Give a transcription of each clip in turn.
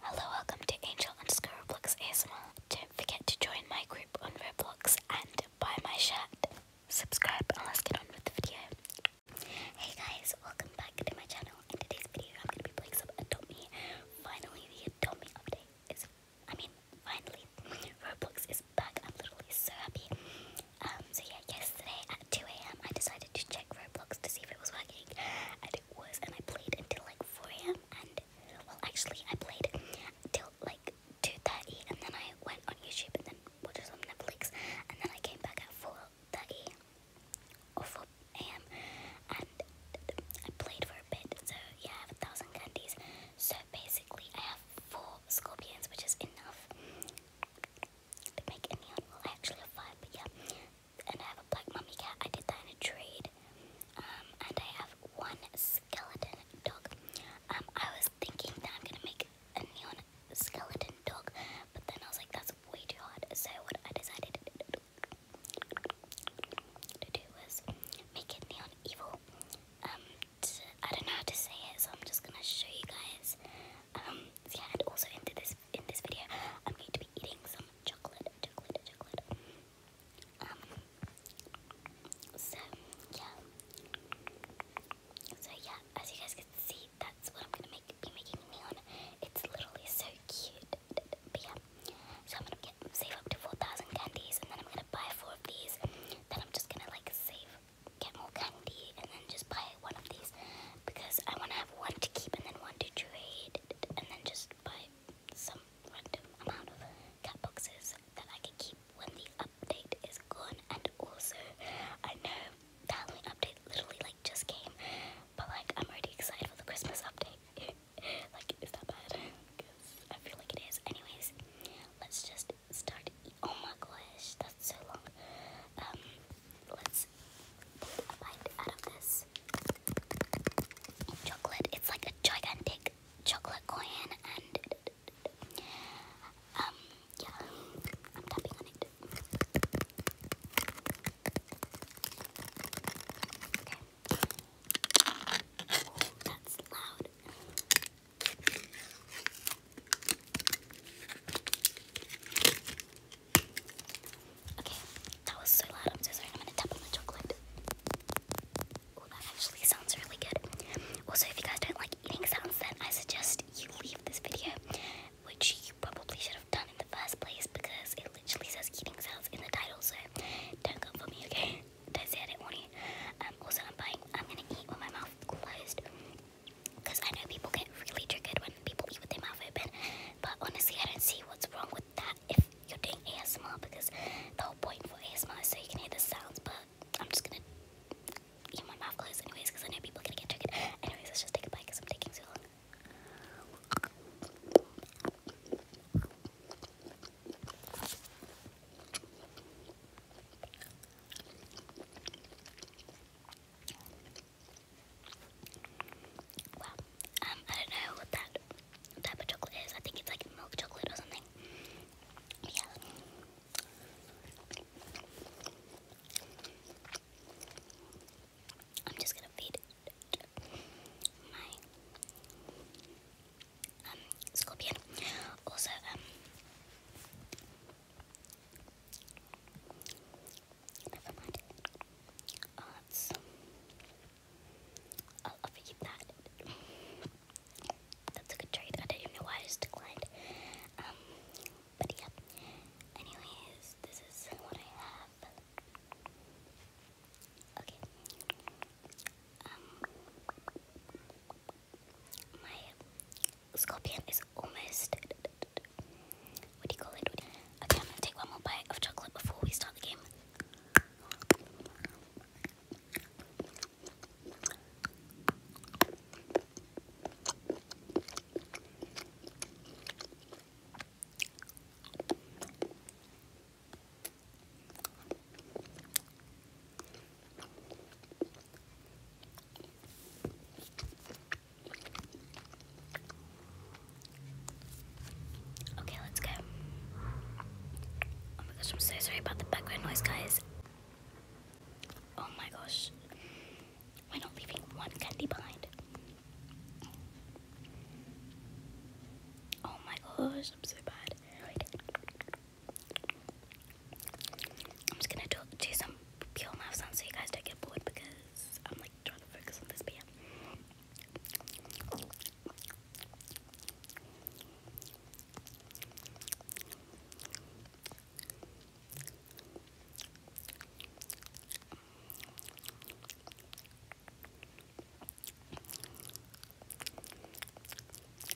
Hello, welcome to Angel underscore Roblox ASMR. Don't forget to join my group on Roblox and buy my shirt. Subscribe and let's get on with the video. Hey guys, welcome back to my channel. In today's video, I'm going to be playing some Adopt Finally, the Adopt update is, I mean, finally, Roblox is back. I'm literally so happy. Um, so yeah, yesterday at 2am, I decided to check Roblox to see if it was working was, and I played until like 4 a.m. and well, actually, I played till like 2:30, and then I went on YouTube and then watched some Netflix, and then I came back at 4:30 or 4 a.m. and I played for a bit. So I have a thousand candies. So basically, I have four scorpions, which is enough to make a neon. actually have but yeah, and I have a black mummy cat. I did that in a trade. Um, and I have one skeleton dog. Um, I was thinking that I'm gonna make a neon skeleton dog, but then I was like, that's way too hard. So what I decided to do was make it neon evil. Um, I don't know how to say it, so I'm just gonna show you guys. Um, yeah, and also into this in this video, I'm going to be eating some chocolate, chocolate, chocolate. Um, so yeah, so yeah, as you guys can see, that's what I'm gonna make, be making neon. It's literally so cute. But yeah, so I'm gonna get save up to 4,000 candies, and then I'm gonna buy four of these. Then I'm just gonna like save, get more candy, and then just buy one of these because I want to have one to keep and then one to trade and then just buy some random amount of cat boxes that I can keep when the update is gone. And also, I know that Halloween update literally like just came, but like I'm already excited for the Christmas update. like, is that bad? Because I feel like it is. Anyways, let's just start. Oh my gosh, that's so long. Um, let's chocolate. It's like a gigantic chocolate coin, and um, yeah, I'm tapping on it. Okay. that's loud. Okay, that was so loud. I'm so sorry. I'm gonna tap the chocolate. Oh, that actually sounds really good. Also, if you guys don't like eating sounds, then I suggest you leave this video, which you probably should have done in the first place because it literally says eating sounds in the title. So don't come for me, okay? Don't say I did um, also, I'm buying. I'm gonna eat with my mouth closed. Because I know people get really triggered when people eat with their mouth open. But honestly, I don't see what's wrong with that if you're doing ASMR. Because the whole point for ASMR is so you can hear the sounds. But I'm just going to eat my mouth closed anyways. Because I know people going to get triggered. Anyways, let's just take a bite because I'm taking too long. Wow. Um, I don't know what that type of chocolate is. I think it's like milk chocolate or something. yeah. I'm just gonna feed my um, scorpion. Also, um Never mind. Oh, I'll, I'll that. That's a good trade. I don't know why I just declined. Um, but yeah. Anyways, this is what I have. Okay. Um, my Scorpion is almost. What do you call it? okay, I'm gonna take one more bite of chocolate before we start the game. Okay, let's go. Oh my gosh, I'm so sorry about the background noise, guys. Oh my gosh. We're not leaving one candy behind. Oh my gosh, I'm so bad. I'm just gonna do, some pure mouth sounds so you guys don't get bored because I'm like trying to focus on this, but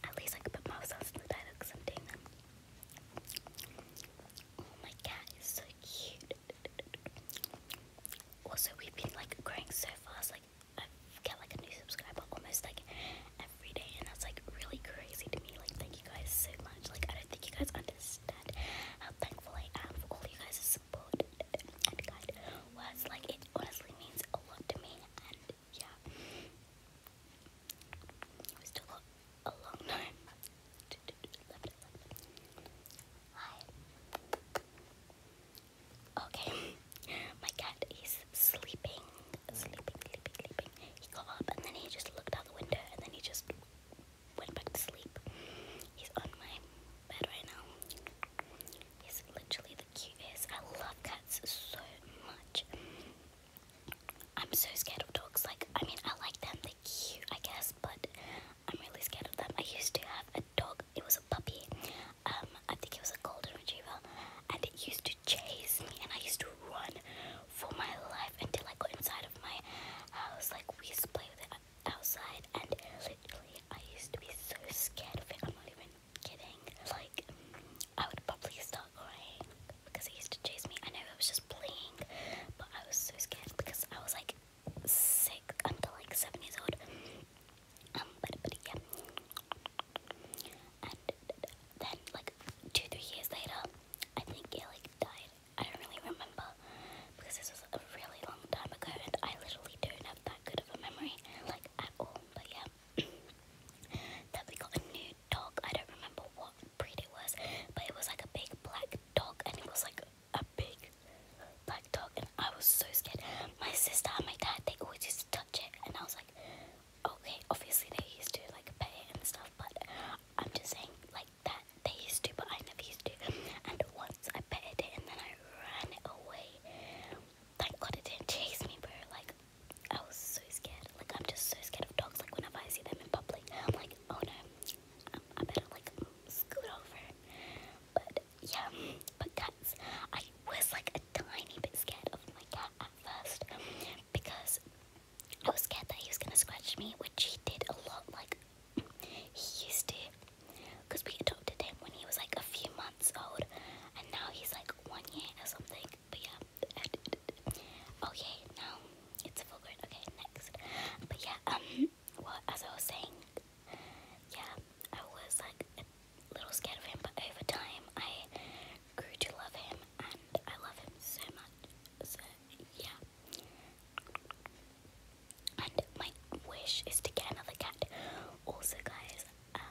At least I could put mouth sounds in the dialogue because I'm doing them. Oh my cat is so cute. Also, we've been like growing so fast. Like I get like a new subscriber almost like every day, and that's like really crazy to me. Like thank you guys so much. Like I don't think you guys understand how thankful I am for all you guys' support and kind words. Like it honestly means a lot to me, and yeah. It still a, a long time. Hi. Okay, my cat is sleeping, sleeping, sleeping, sleeping. He got up and then he just looked out the window and then he just went back to sleep. He's on my bed right now. He's literally the cutest. I love cats so much. I'm so scared of dogs. Like, I mean, I like them, they're cute, I guess, but I'm really scared of them. I used to have a dog, it was a puppy. Um, I think it was a golden retriever, and it used to chase me, and I used to run for my life until I got inside of my house. Like, we used to play with it outside, and literally, I used to be so scared of it. I'm not even kidding. Like, I would probably start crying because he used to chase me. I know I was just playing, but I was so scared because I was like sick until like seven years old. Um, but, but yeah. And then, like, two, three years later, I think he like died. I don't really remember because this was a really long time ago and I literally don't have that good of a memory, like, at all. But yeah that we got a new dog. I don't remember what breed it was, but it was like a big black dog, and it was like a big black dog, and I was so scared. My sister and my dad, they always used to touch it, and I was like, okay, obviously they used to like pet it and stuff, but I'm just saying like that they used to, but I never used to. And once I petted it, and then I ran away. Thank God it didn't chase me, bro. Like, I was so scared. Like, I'm just so scared of dogs. Like, whenever I see them in public, I'm like, oh no, I, I better, like, scoot over. But, yeah, but I was, like, a tiny bit scared of my cat at first because I was scared that he was gonna scratch me, which he did a lot. Like, he used to, because we adopted him when he was, like, a few months months and now he's like one year or something. But yeah, okay, now it's a full grade. Okay, next. But yeah, um, well, as I was saying, yeah, I was like a little scared of him, but over time I grew to love him, and I love him so much. So yeah. And my wish is to get another cat. Also, guys, um,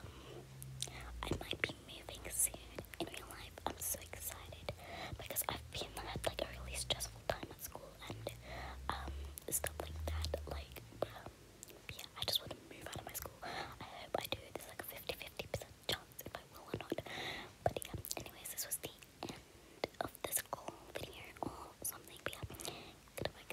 I might be moving soon in real life. I'm so excited because I've been had like a really stressful time at school and um, stuff like that. Like, um, yeah, I just want to move out of my school. I hope I do. There's like a 50 50% chance if I will or not. But yeah, anyways, this was the end of this whole video or something. But yeah,